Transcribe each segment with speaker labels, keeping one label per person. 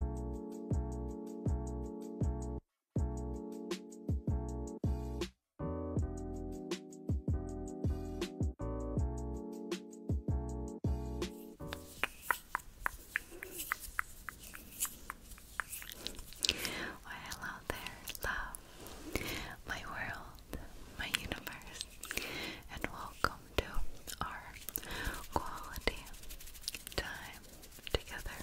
Speaker 1: Well, hello there, love, my world, my universe, and welcome to our quality time together.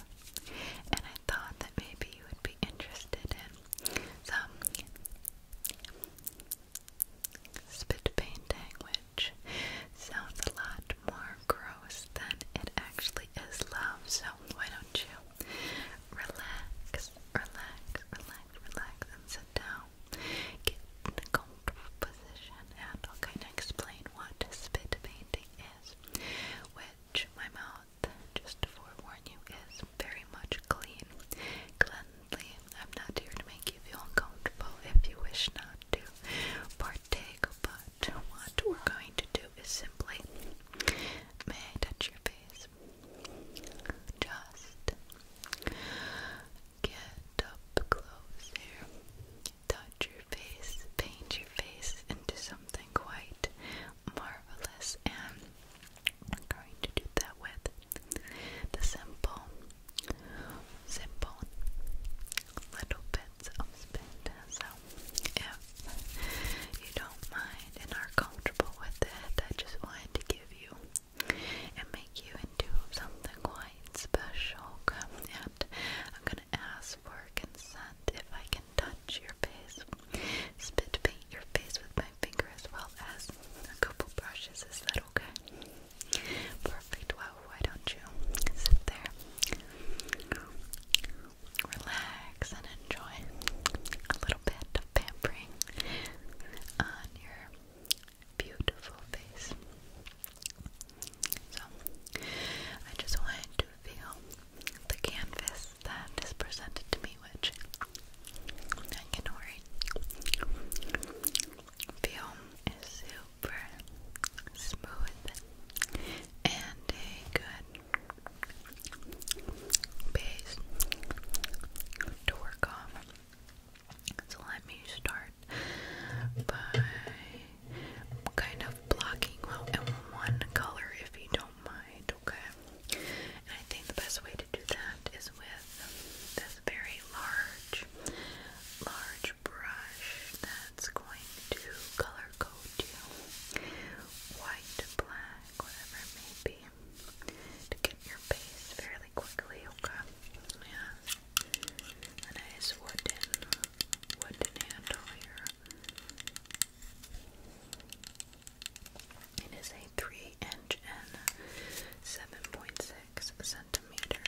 Speaker 1: And I thought that maybe you would be interested in some spit painting, which sounds a lot more gross than it actually is love. So why don't you relax, relax, relax, relax, and sit down. Get in a comfortable position and I'll kind of explain what spit painting is, which my mouth, just to forewarn you, is very much clean, cleanly. I'm not here to make you feel uncomfortable if you wish not to partake, but what we're going to do is simply, may I touch your face? Just get up close touch your face, paint your face into something quite marvelous, and I'm going to do that with the simple, simple little bits of spit. So, if you don't mind and are comfortable with it, I just wanted to give you make you into something quite special. And I'm gonna ask for consent if I can touch your face, spit paint your face with my finger as well as a couple brushes. Is that okay? Perfect. Well, why don't you sit there, relax, and enjoy a little bit of pampering on your beautiful face. So, I just wanted to feel the canvas that is presented to me, which I can already feel is super smooth and a good base to work on. So let me start by kind of blocking out in one color if you don't mind, okay? And I think the best way to do that is with this very large, large brush that's going to color code you white, black, whatever it may be, to get your base fairly really quickly, okay? Yeah. A nice wooden, wooden handle here. It is a 3 inch and 7.6 centimeter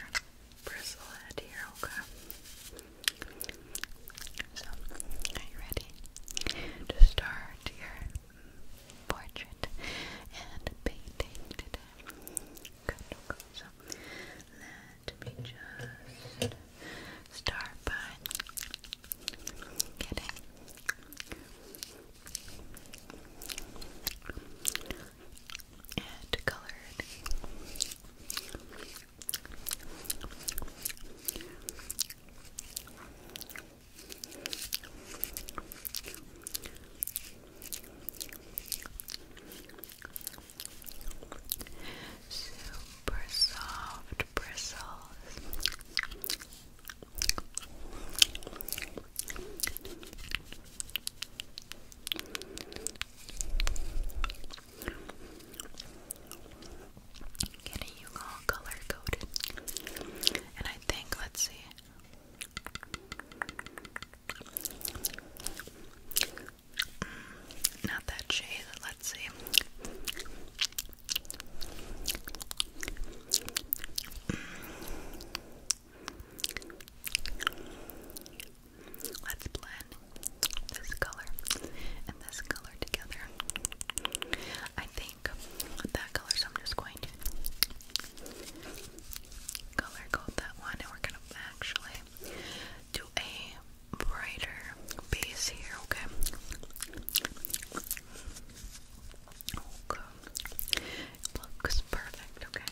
Speaker 1: bristle head here, okay? So, are you ready to start your portrait and painting today? Good. So let me just start by getting it colored. Super soft bristles. Getting you all color coded, and I think let's see. Mm, not that shade, let's see. Let's blend this color and this color together. I think that color, so I'm just going to color code that one and we're gonna actually do a brighter base here, okay? Okay. Looks perfect, okay?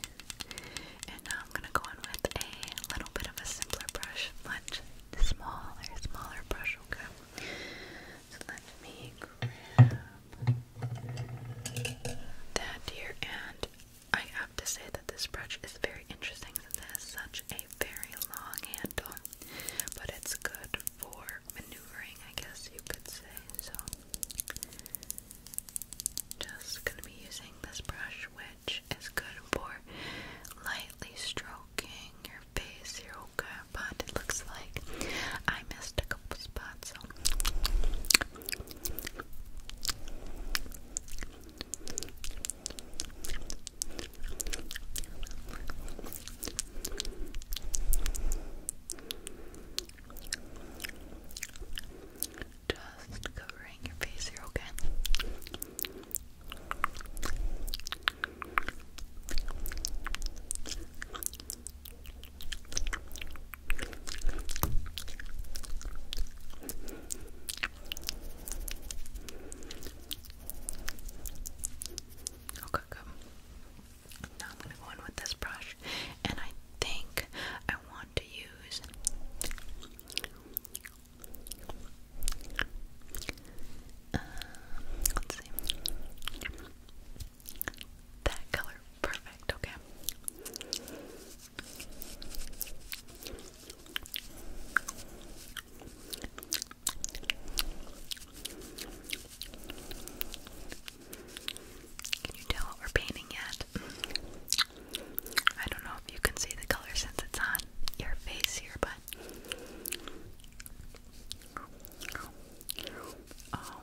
Speaker 1: And now I'm gonna go in with a little bit of a simpler brush, much smaller, smaller brush, okay? let me that here, and I have to say that this brush is very interesting since it has such a very long handle, but it's good for maneuvering, I guess you could say. So, just gonna be using this brush, which is good for lightly stroking your face here, okay? But it looks like I missed a couple spots, just covering your face here, okay? Okay, good. Now I'm going to go in with this brush, and I think I want to use uh, let's see that color Perfect, okay. Can you tell what we're painting yet? I don't know if you can see the color since it's on your face here, but. Um,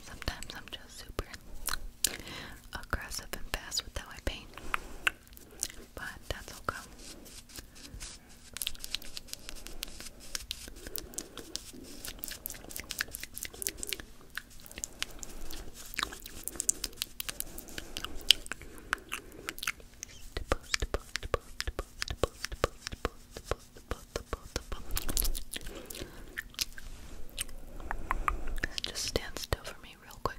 Speaker 1: Sometimes I'm just super aggressive and fast with how I paint, but that's okay. Just stand still for me, real quick.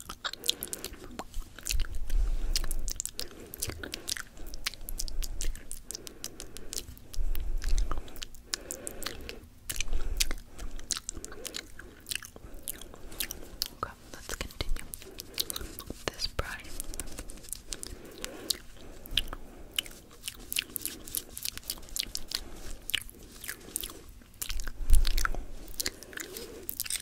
Speaker 1: Okay, let's continue with this brush. Okay.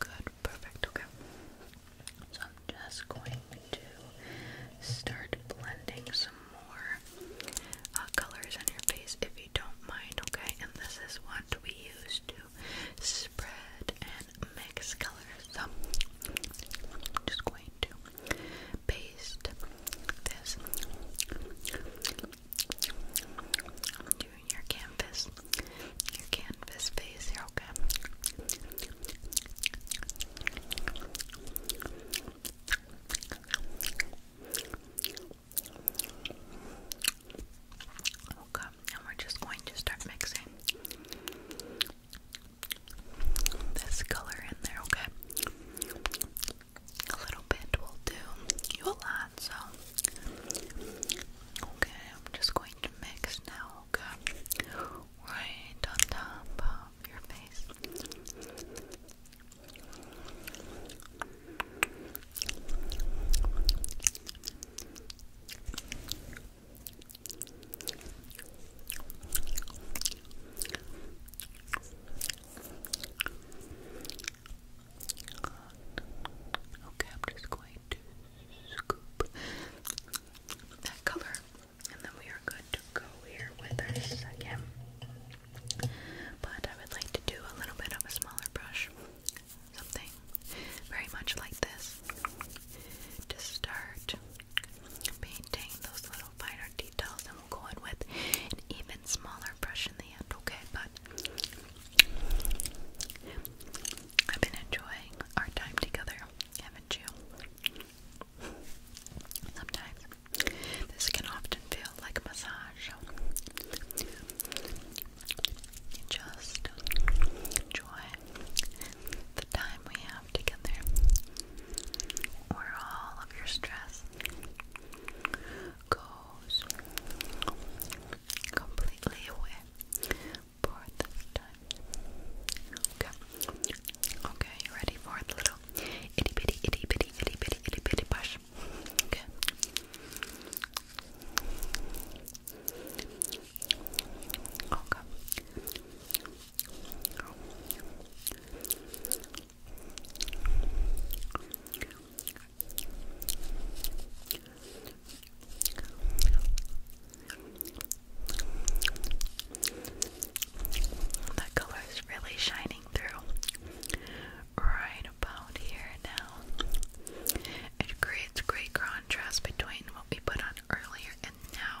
Speaker 1: Good, perfect, okay. So I'm just going to start blending some more uh, colors on your face if you don't mind, okay? And this is what we use to spread and mix colors. So I'm just going to paste this doing your canvas, your canvas face okay? Okay, and we're just going to start mixing this color in there, okay? a little bit will do you a lot, so okay, I'm just going to mix now, okay? Right on top of your face. Okay, I'm just going to scoop that color, and then we are good to go here with our second. But I would like to do a little bit of a smaller brush, something very much like this, to start painting those little finer details, and we'll go in with an even smaller brush in the end, okay? But I've been enjoying our time together, haven't you? Sometimes this can often feel like a massage. You just enjoy the time we have together, or all of your stress, goes completely away for this time. Okay. Okay, you ready for the little itty bitty itty bitty itty bitty itty bitty brush? Okay. Okay. That color is really shining through right about here now. It creates great contrast between what we put on earlier and now.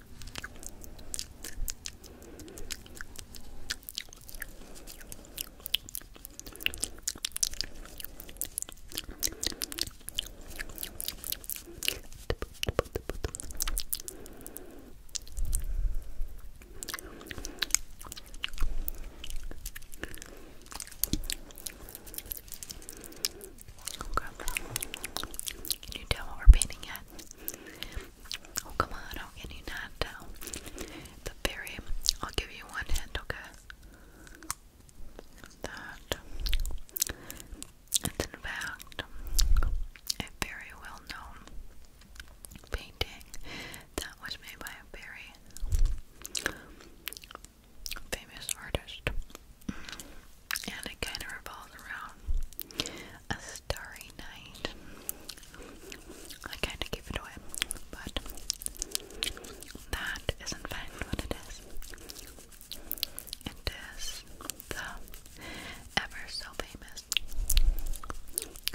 Speaker 1: Okay. Can you tell what we're painting yet? Oh, come on, how can you not tell? The very, I'll give you one hint, okay? it's in fact a very well known painting that was made by a very famous artist and it kind of revolves around a starry night. I kind of gave it away, but that is in fact what it is. It is the ever so famous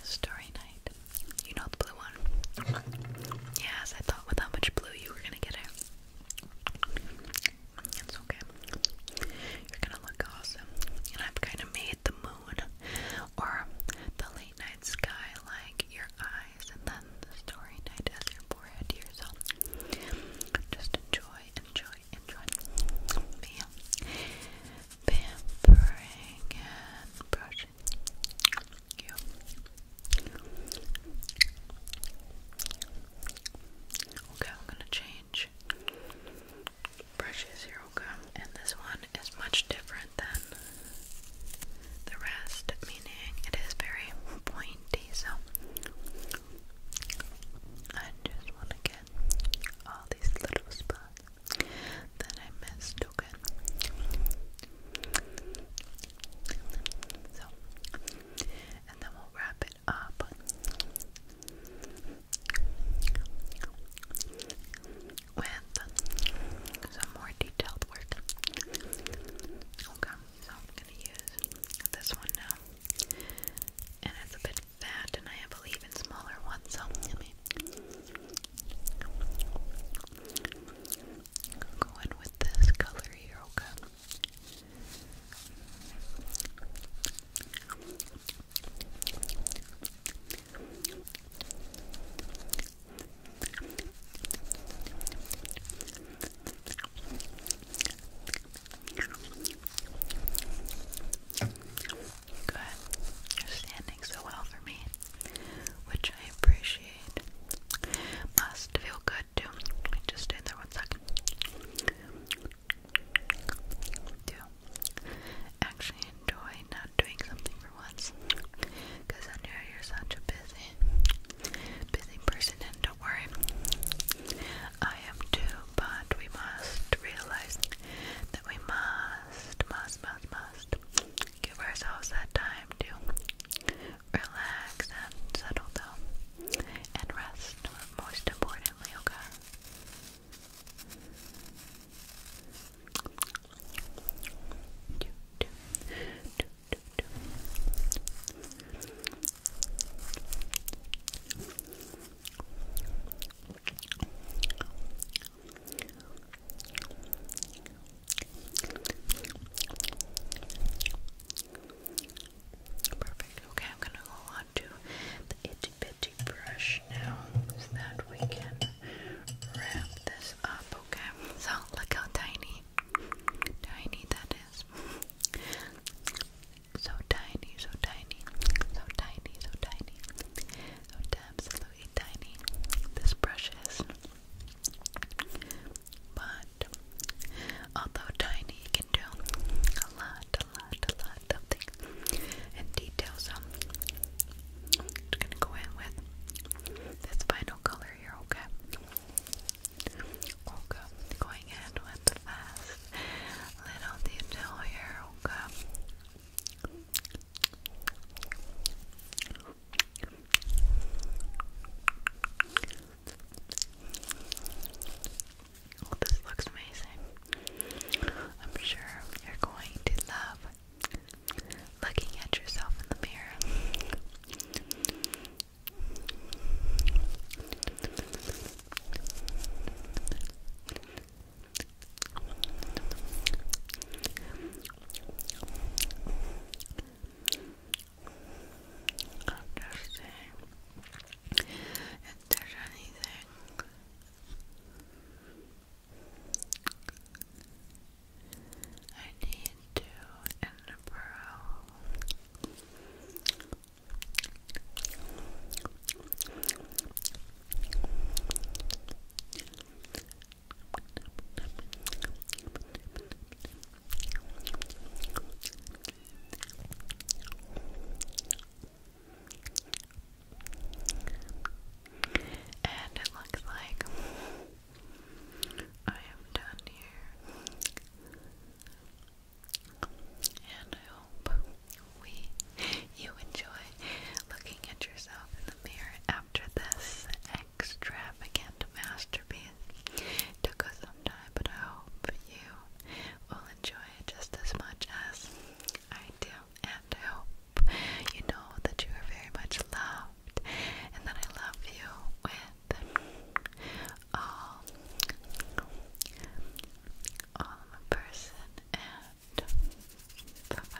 Speaker 1: Starry Night. You know the blue one? Yes, I thought with how much blue you were gonna get it. It's okay. You're gonna look awesome. And I've kind of made the moon or the late night sky like your eyes, and then the story night as your forehead here. So just enjoy, enjoy, enjoy. Bam. Pampering and brushing Okay, I'm gonna change brushes here will come, and this one is much different than the rest, meaning it is very pointy. So I just want to get all these little spots Then I missed. token. So, and then we'll wrap it up. With some more detailed work. Okay, so I'm gonna use this one now. And it's a bit fat, and I have a even smaller one, so let with this color here, okay? Good. You're standing so well for me, which I appreciate. Must feel good good too. Just stay there one second. Do actually enjoy not doing something for once. I know you're such a busy, busy person, and don't worry, I am too. But we must realize that we must, must, must, must give ourselves that time to Relax and settle down. And rest, most importantly, okay? Perfect. Okay, I'm gonna go on to the itchy bitty brush now so that we can wrap this up, okay? So look how tiny tiny that is. So tiny, so tiny, so tiny, so tiny, so absolutely tiny. This brush is but although tiny, you can do a lot, a lot, a lot of things and details. Um, I'm gonna go in with this final color here, okay? Okay, going in with fast little detail here, Okay, Oh, this looks amazing. I'm sure you're going to love looking at yourself in the mirror. After seeing there's anything I need to improve. And it looks like I am done here. And I hope we you enjoy looking at yourself in the mirror after this extravagant masterpiece. took us some time, but I hope you will enjoy it just as much as I do. And I hope you know that you are very much loved and that I love you with all, all of person and bye